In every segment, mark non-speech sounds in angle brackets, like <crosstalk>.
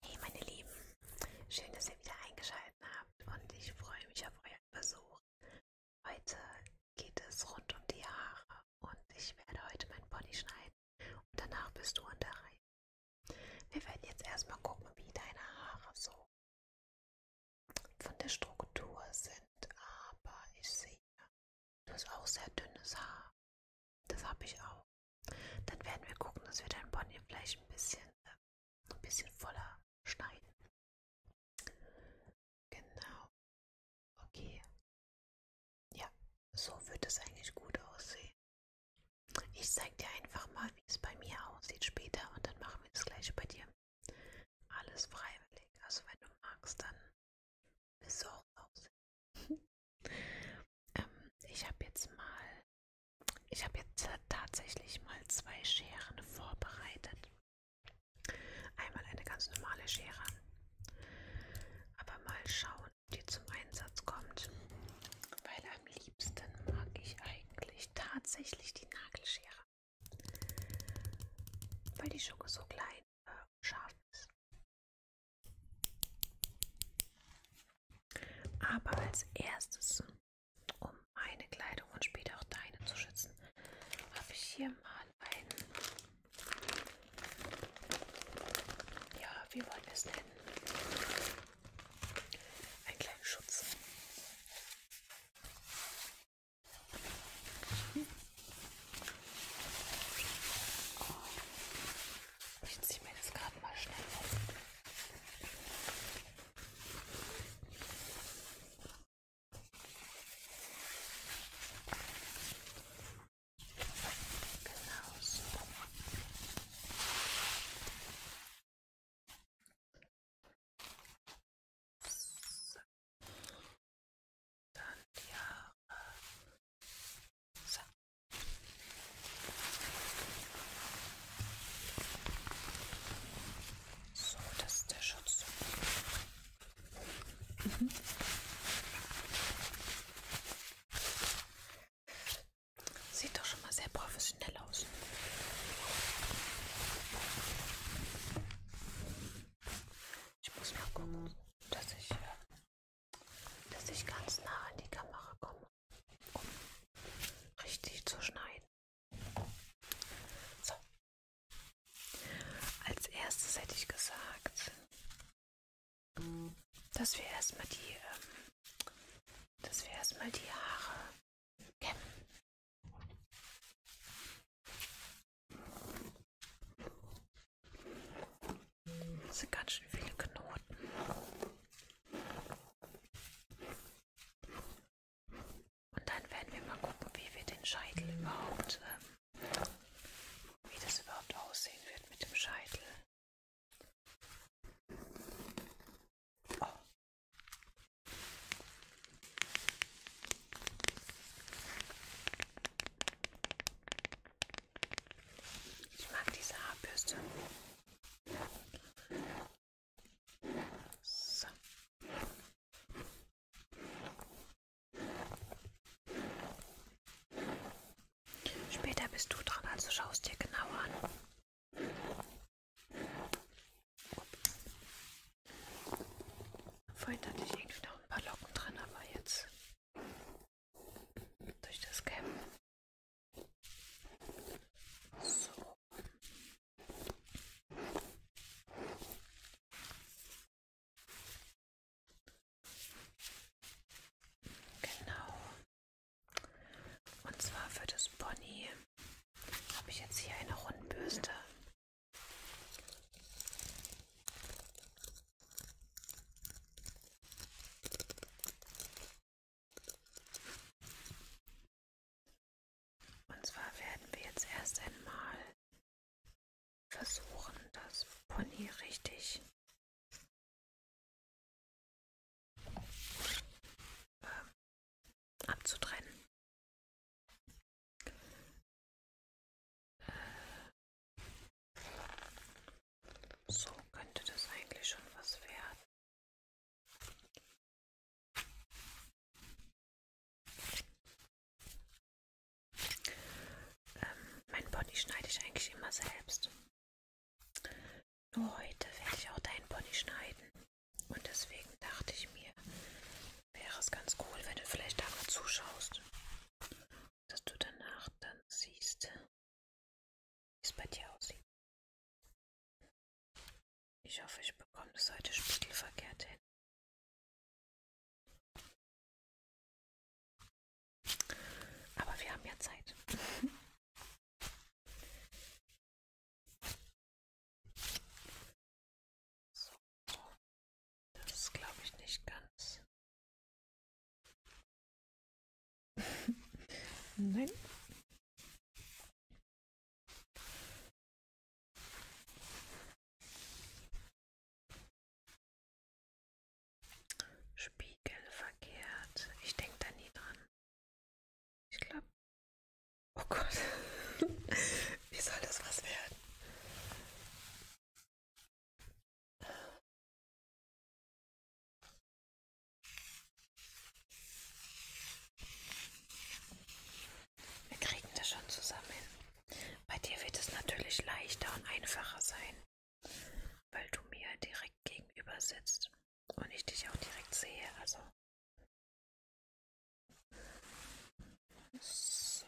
Hey meine Lieben, schön, dass ihr wieder eingeschaltet habt und ich freue mich auf euren Besuch. Heute geht es rund um die Haare und ich werde heute meinen Pony schneiden und danach bist du in der Reihe. Wir werden jetzt erstmal gucken, wie deine Haare so von der Struktur sind aber, ich sehe, du hast auch sehr dünnes Haar. Das habe ich auch. Dann werden wir gucken, dass wir dein Pony vielleicht ein bisschen, äh, ein bisschen voller schneiden. Genau. Okay. Ja, so wird es eigentlich gut aussehen. Ich zeige dir einfach mal, wie es bei mir aussieht später und dann machen wir das gleiche bei dir. Alles freiwillig. Also wenn du magst, dann bist du auch raus. <laughs> ähm, ich habe jetzt mal, ich habe jetzt tatsächlich mal zwei Scheren vorbereitet. Einmal eine ganz normale Schere. Aber mal schauen, ob die zum Einsatz kommt. Weil am liebsten mag ich eigentlich tatsächlich die Nagelschere weil die Schoko so klein äh, und äh, scharf ist. Aber als erstes, um meine Kleidung und später auch deine zu schützen, habe ich hier mal einen, ja, wie wollen wir es nennen? Einen kleinen Schutz. Oh, ich ziehe mir das gerade mal schnell aus. Genau so. Äh, so, das ist der Schutz. Mhm. Sieht doch schon mal sehr professionell aus. Ich muss mal gucken, dass ich, äh, dass ich ganz nah an die Kamera komme, um richtig zu schneiden. So. Als erstes hätte ich gesagt, dass wir erstmal die, ähm, dass wir erstmal die Haare kämpfen das sind ganz schön viele Knoten. Und dann werden wir mal gucken, wie wir den Scheitel überhaupt, ähm, wie das überhaupt aussehen wird mit dem Scheitel. Oh, ich mag diese Haarbürste. So. Später bist du dran, also schaust dir genauer an. Vorhin hatte ich irgendwie noch ein paar Locken drin, aber jetzt durch das Camp. So. Genau. Und zwar für das Pony habe ich jetzt hier eine Rundbürste. Und zwar werden wir jetzt erst einmal versuchen, das Pony richtig ähm, abzutrennen. Äh, so könnte das eigentlich schon was werden. Ähm, mein Pony schneide ich eigentlich immer selbst. Nur heute werde ich auch deinen Pony schneiden. Und deswegen dachte ich mir, wäre es ganz cool, wenn du vielleicht einmal zuschaust, dass du danach dann siehst, wie es bei dir aussieht. Ich hoffe, ich bekomme das heute spiegelverkehrt hin. Aber wir haben ja Zeit. <laughs> So. Das ist, glaube ich, nicht ganz. <laughs> Nein. Spiegel verkehrt. Ich denke da nie dran. Ich glaube. Oh Gott. <laughs> Wie soll das was werden? Wir kriegen das schon zusammen. Bei dir wird es natürlich leichter und einfacher sein, weil du mir direkt gegenüber sitzt und ich dich auch direkt sehe. Also. So.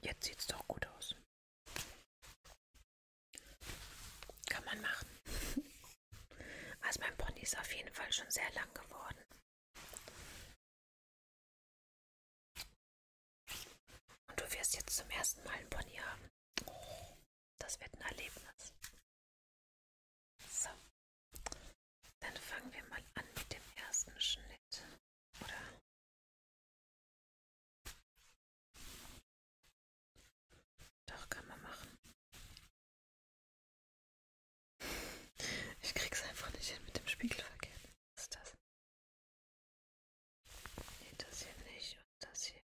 Jetzt sieht es doch gut aus. Kann man machen. <laughs> Also mein Pony ist auf jeden Fall schon sehr lang geworden. Und du wirst jetzt zum ersten Mal ein Pony haben. Das wird ein Erlebnis. So, dann fangen wir mal an mit dem ersten Schnitt, oder? Doch, kann man machen. Ich krieg's einfach nicht hin mit dem Spiegelverkehr. Was ist das? Nee, das hier nicht und das hier.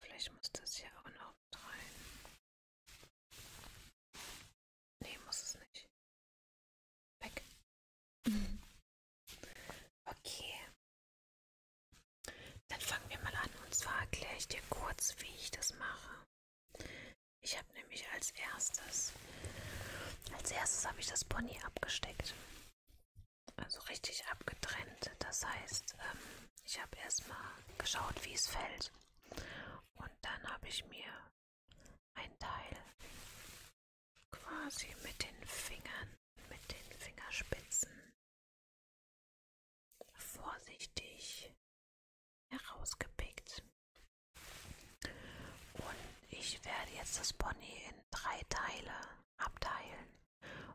Vielleicht muss das hier auch noch rein. Nee, muss es nicht. Weg. <laughs> Okay. Dann fangen wir mal an. Und zwar erkläre ich dir kurz, wie ich das mache. Ich habe nämlich als erstes, als erstes habe ich das Pony abgesteckt so also richtig abgetrennt. Das heißt, ähm, ich habe erstmal geschaut, wie es fällt. Und dann habe ich mir ein Teil quasi mit den Fingern, mit den Fingerspitzen vorsichtig herausgepickt. Und ich werde jetzt das Pony in drei Teile abteilen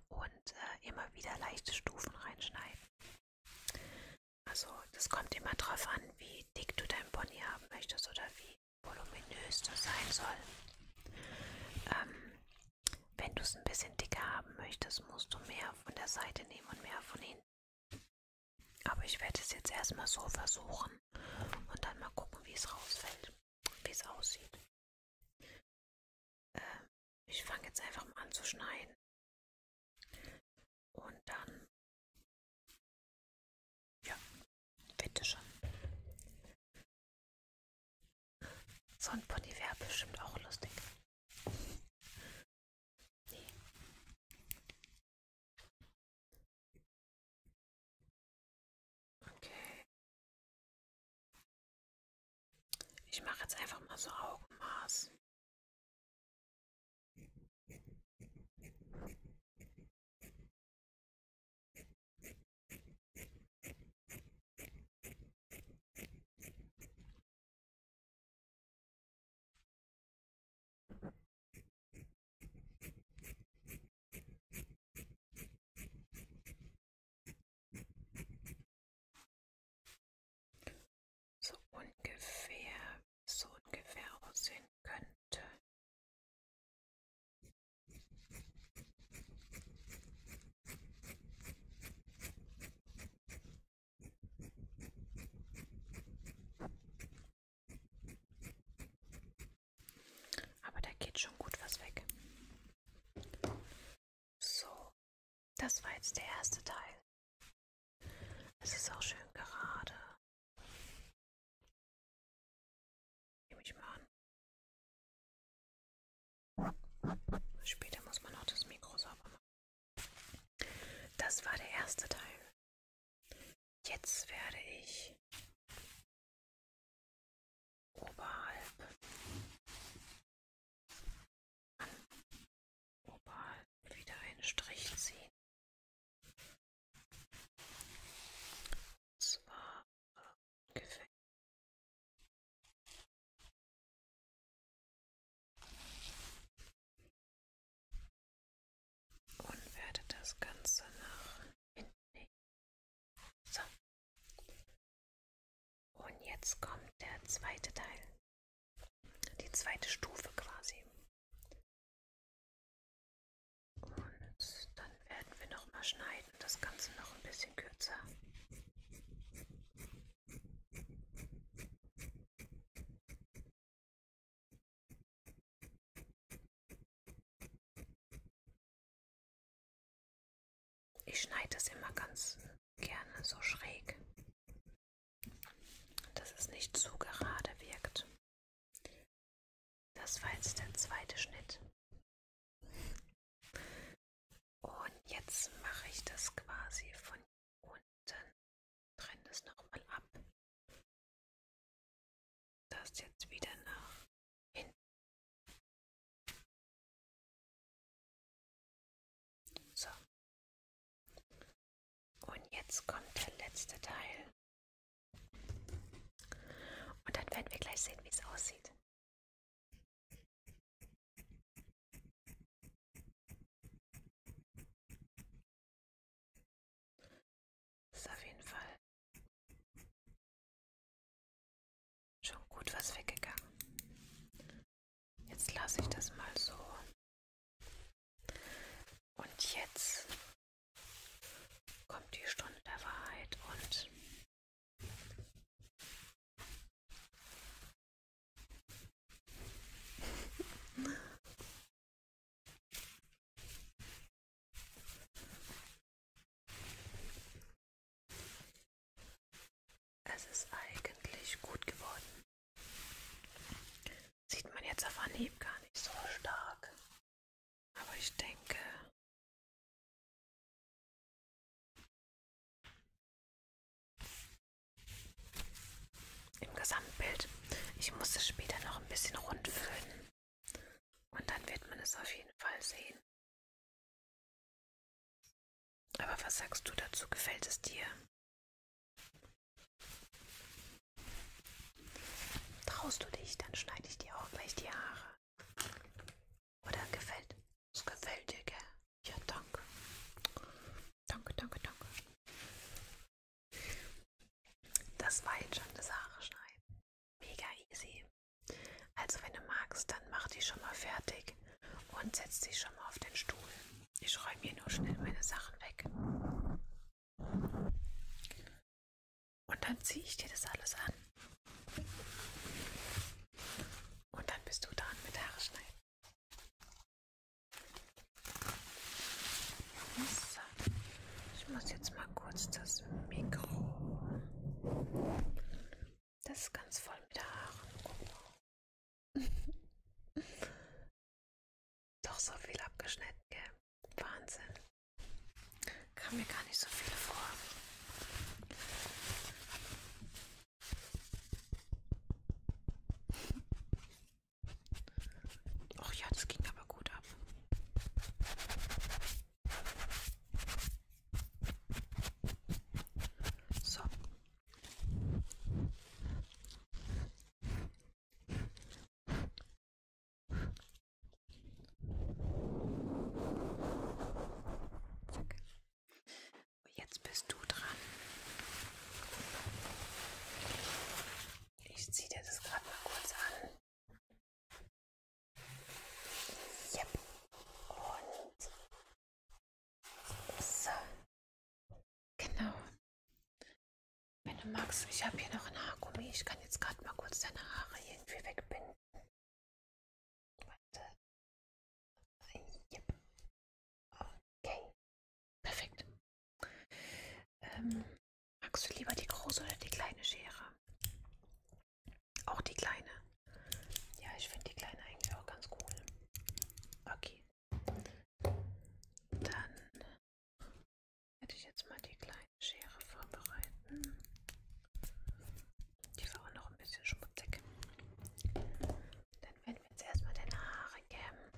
und äh, immer wieder leichte Stufen reinschneiden. Also das kommt immer darauf an, wie dick du dein Pony haben möchtest oder wie voluminös das sein soll. Ähm, wenn du es ein bisschen dicker haben möchtest, musst du mehr von der Seite nehmen und mehr von hinten. Aber ich werde es jetzt erstmal so versuchen und dann mal gucken, wie es rausfällt wie es aussieht. Ähm, ich fange jetzt einfach mal an zu schneiden. Und dann, ja, bitte schon. So ein Pony wäre bestimmt auch lustig. Nee. Okay. Ich mache jetzt einfach mal so Augenmaß. So ungefähr, so ungefähr aussehen könnte. Aber da geht schon gut was weg. So, das war jetzt der erste Teil. Es ist auch schön gerade. Nehme ich mal an. Später muss man noch das Mikro sauber machen. Das war der erste Teil. Jetzt werde ich oberhalb an oberhalb wieder einen Strich ziehen. Und zwar ungefähr. Äh, und werde das Ganze nach hinten So. Und jetzt kommt der zweite Teil. Die zweite Stufe quasi. Und dann werden wir nochmal schneiden, das Ganze noch ein bisschen kürzer. Ich schneide das immer ganz gerne so schräg, dass es nicht zu gerade wirkt. Das war jetzt der zweite Schnitt. Und jetzt mache ich das quasi von unten, trenne es nochmal ab das jetzt wieder nach hinten. So. Und jetzt kommt der letzte Teil. Und dann werden wir gleich sehen, wie es aussieht. Ist auf jeden Fall Schon gut was weggegangen. Jetzt lasse ich das mal so. Und jetzt kommt die Stunde der Wahrheit und <laughs> Es ist eigentlich gut geworden. Sieht man jetzt auf Anhieb gar nicht so stark. Aber ich denke, im Gesamtbild, ich muss es später noch ein bisschen rund föhnen. Und dann wird man es auf jeden Fall sehen. Aber was sagst du dazu? Gefällt es dir? Traust du dich, dann schneide ich dir auch gleich die Haare. Oder gefällt? Es gefällt dir, gell? Ja, danke. Danke, danke, danke. Das war jetzt schon das Haare schneiden. Mega easy. Also wenn du magst, dann mach die schon mal fertig und setz dich schon mal auf den Stuhl. Ich räume hier nur schnell meine Sachen weg. Und dann ziehe ich dir das alles an. Und dann bist du dran mit Haare schneiden. So. Ich muss jetzt mal kurz das Mikro. Das ist ganz voll mit Haaren. <laughs> Doch so viel abgeschnitten, gell? Wahnsinn. Kam mir gar nicht so viele vor. Ach ja, das ging aber gut ab. So. Zack. Jetzt bist du dran. Ich ziehe dir das gerade mal kurz an. Yep. Und so. Genau. Wenn du magst, ich habe hier noch ein Haargummi. Ich kann jetzt gerade mal kurz deine Haare irgendwie wegbinden. Warte. Yep. Okay. Perfekt. Ähm, Magst du lieber die große oder die kleine Schere? Auch die kleine. Ja, ich finde die kleine eigentlich auch ganz cool. Okay. Dann werde ich jetzt mal die kleine Schere vorbereiten. Die war auch noch ein bisschen schmutzig. Dann werden wir jetzt erstmal deine Haare kämmen.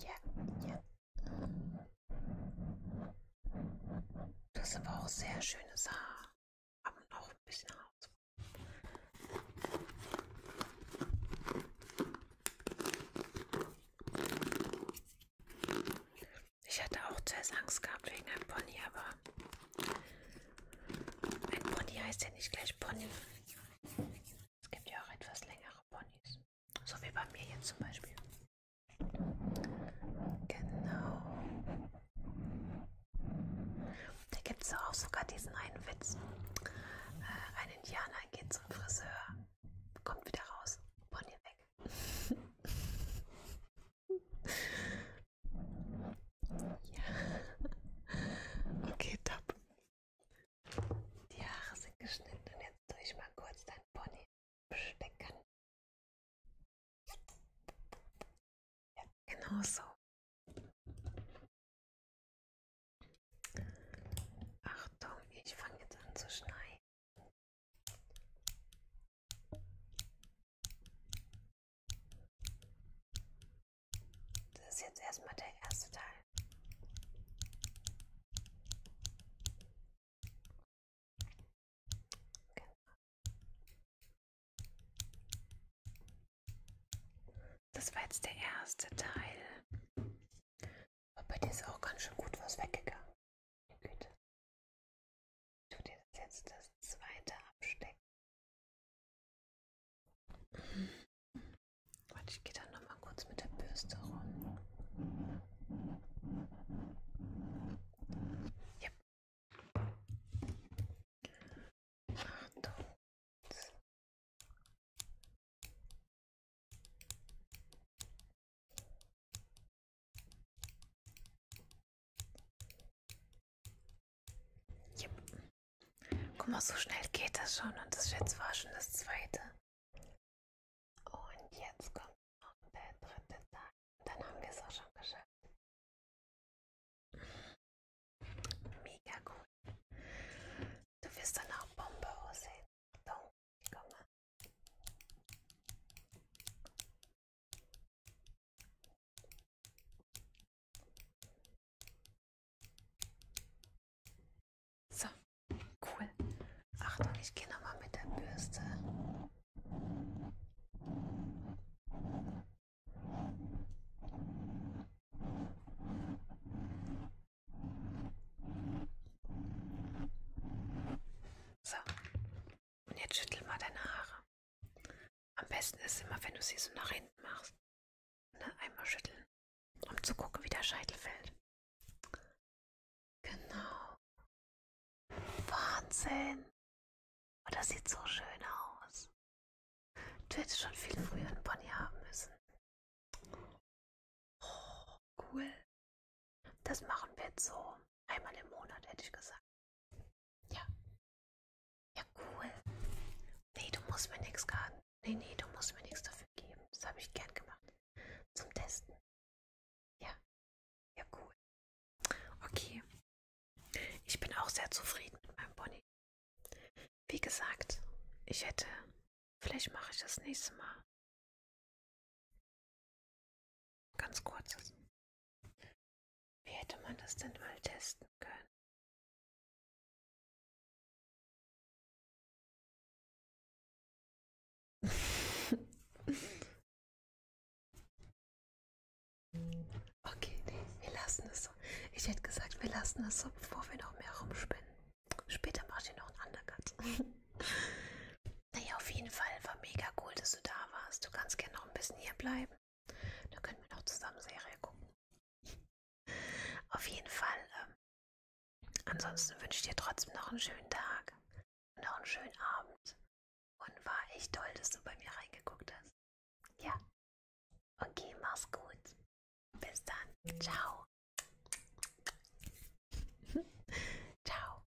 Ja, ja. Du hast aber auch sehr schönes Haar. Aber noch ein bisschen Haar. Ich hatte auch zuerst Angst gehabt wegen einem Pony, aber ein Pony heißt ja nicht gleich Pony. Es gibt ja auch etwas längere Ponys. So wie bei mir jetzt zum Beispiel. Genau. Da gibt es auch sogar diesen einen Witz. Äh, ein Indianer geht zum Friseur, kommt wieder raus, Pony weg. <laughs> Ja. <laughs> Okay, top. Die Haare sind geschnitten und jetzt tue ich mal kurz dein Pony stecken. Ja, genau so. Achtung, ich fange jetzt an zu schneiden. Das ist jetzt erstmal der erste Teil. Genau. Das war jetzt der erste Teil. Aber bei dir ist auch ganz schön gut was weggegangen. Güte. Ich tue dir jetzt das zweite abstecken. Warte, ich gehe dann noch mal kurz mit der Bürste rum. Ja. Achtung. Yep. Guck mal, so schnell geht das schon. Und das jetzt war schon das zweite. Und jetzt kommt noch der dritte Tag. Und dann haben wir es auch schon geschafft. Mega cool. Du wirst dann auch Bombe aussehen. Achtung, ich komme. So, cool. Achtung, ich gehe nochmal mit der Bürste. So, und jetzt schüttel mal deine Haare. Am besten ist immer, wenn du sie so nach hinten machst. Ne? Einmal schütteln, um zu gucken, wie der Scheitel fällt. Genau. Wahnsinn. Oh, das sieht so schön aus. Du hättest schon viel früher einen Pony haben müssen. Oh, cool. Das machen wir jetzt so einmal im Monat, hätte ich gesagt. Ja. Ja, cool. Nee, du musst mir nichts garten. Nee, nee, du musst mir nichts dafür geben. Das habe ich gern gemacht. Zum Testen. Ja. Ja, cool. Okay. Ich bin auch sehr zufrieden mit meinem Pony. Wie gesagt, ich hätte. Vielleicht mache ich das nächste Mal. Ganz kurzes. Wie hätte man das denn mal testen können? <laughs> Okay, nee, wir lassen es so. Ich hätte gesagt, wir lassen es so, bevor wir noch mehr rumspinnen. Später macht ihr noch einen Undercut. <laughs> naja, auf jeden Fall war mega cool, dass du da warst. Du kannst gerne noch ein bisschen hier bleiben. Dann können wir noch zusammen Serie gucken. Auf jeden Fall. Ähm, ansonsten wünsche ich dir trotzdem noch einen schönen Tag und auch einen schönen Abend. Und war echt toll, dass du bei mir reingeguckt hast. Ja. Okay, mach's gut. Bis dann. Ciao. <laughs> Ciao.